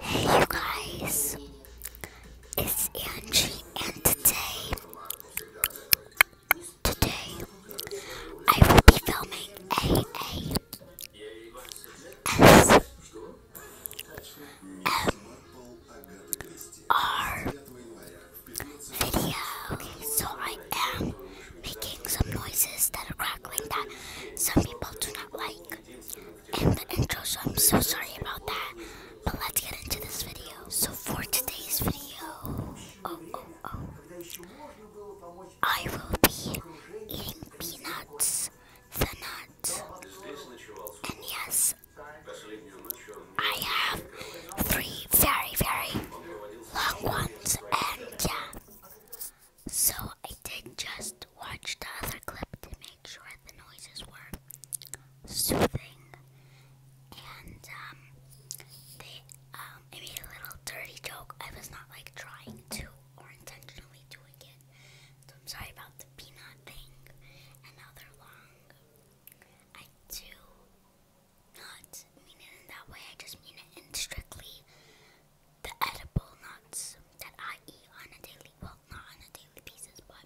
Hey you guys, it's Angie and today, today I will be filming a a s m r video. So I am making some noises that are crackling that some people do not like and the intro, so I'm so sorry about that. But let's get into this video. So for today's video, oh oh oh, I will be eating peanuts, the nuts, and yes, I have three very very long ones, and yeah. So I did just watch the other clip to make sure the noises were soothing, and um, they um, I made a little dirty joke. I was not like trying to or intentionally doing it. So I'm sorry about the peanut thing. And now they're long. I do not mean it in that way. I just mean it in strictly the edible nuts that I eat on a daily, well, not on a daily basis, but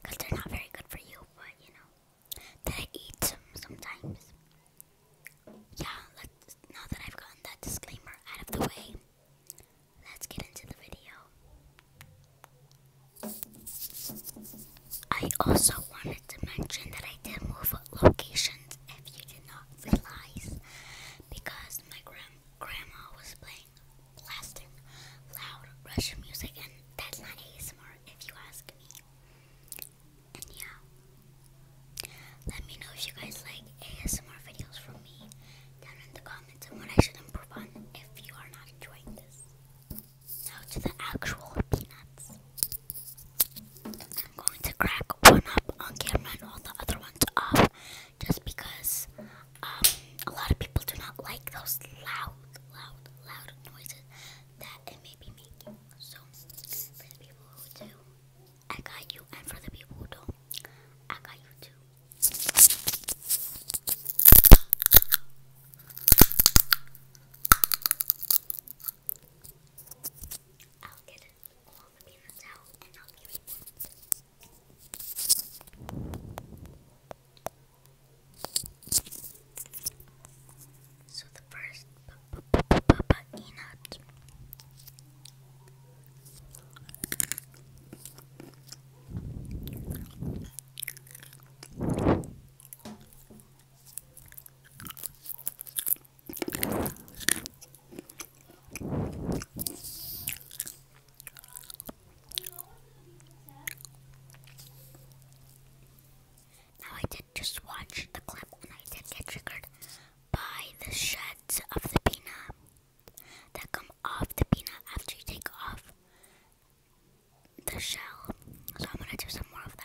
because they're not very good for you, but you know, that I eat them sometimes. Yeah, let's, now that I've gotten that disclaimer out of the way, let's get into the video. I also wanted to mention that I did move locations if you did not realize because my grandma was playing blasting loud Russian music, and that's not ASMR if you ask me. And yeah, let me know if you guys like ASMR videos from me down in the comments and what I should improve on if you are not enjoying this. Now to the actual peanuts. I'm going to crack one up on camera and all the other ones off just because um, a lot of people do not like those loud, loud, loud noises that it may be making. So, for the people who do, I got you, and for the people who don't, I got you too. I'll get it all the So the first peanut. Now I did just watch the clip and I did get triggered by the shreds of the peanut that come off the peanut after you take off the shell. So I'm gonna do some more of that.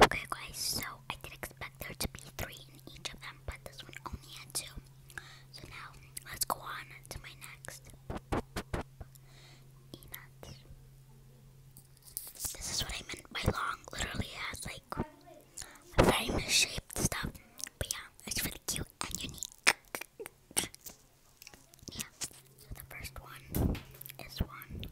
Okay guys, so I did expect there to be three in each of them, but this one only had two. So now, let's go on to my next This is what I meant by long. Literally has like very misshaped stuff. But yeah, it's really cute and unique. yeah, the first one is one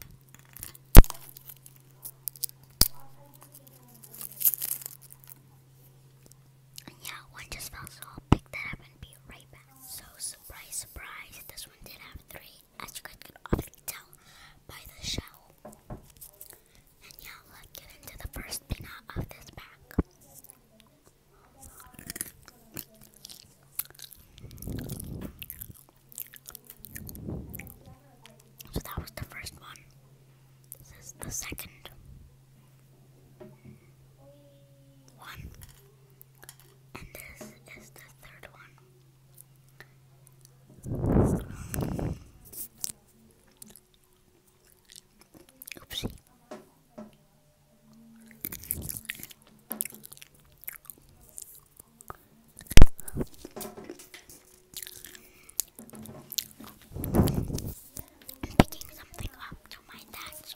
yeah, one just fell, so I'll pick that up and be right back. So, surprise, surprise, this one did have three, as you guys could obviously tell by the shell. And yeah, let's get into the first pin of this pack. So that was the first one. This is the second one. And this is the third one. Oopsie. I'm picking something up to my touch.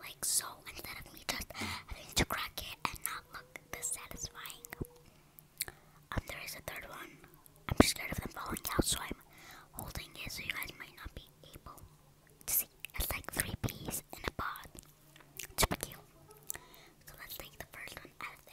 like so instead of me just having to crack it and not look this Um, there is a third one. I'm scared of them falling out, so I'm holding it so you guys might not be able to see. It's like three peas in a pod. It's super cute. So let's take the first one out of the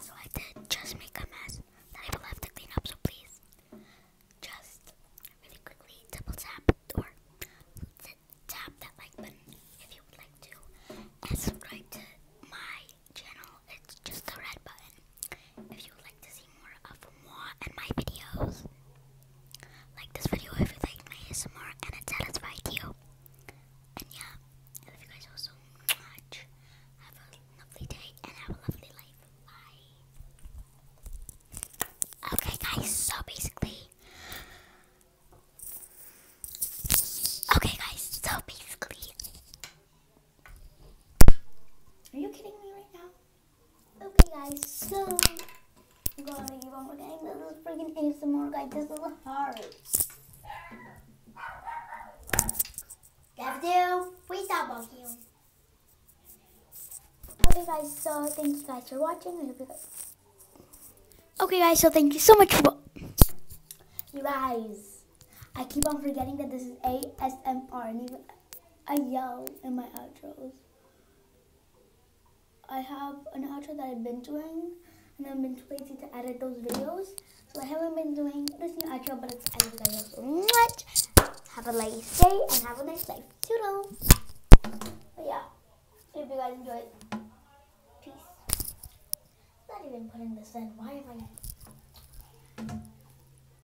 So I did just make a mess that I will have to clean up, so please just really quickly double tap or tap that like button if you would like to subscribe to my channel. It's just the red button. If you would like to see more of moi and my videos, like this video if you like my ASMR and it satisfied you. And yeah, I love you guys all so much. Have a lovely day and have a lovely life. Bye. Okay, guys, so basically. Okay, guys, so basically. Are you kidding me right now? Okay guys, so I'm gonna make you forgetting more game. This is freaking ASMR guys, this is hard. Devdu, we stop you. Okay guys, so thank you guys for watching. Okay guys, so thank you so much for you guys. I keep on forgetting that this is ASMR and I yell in my outro. I have an outro that I've been doing, and I've been too lazy to edit those videos, so I haven't been doing this new outro, but I edited. I love so much. Have a nice day and have a nice life. Toodles. But yeah, hope you guys enjoyed. Peace. I'm not even putting this in. Why am I?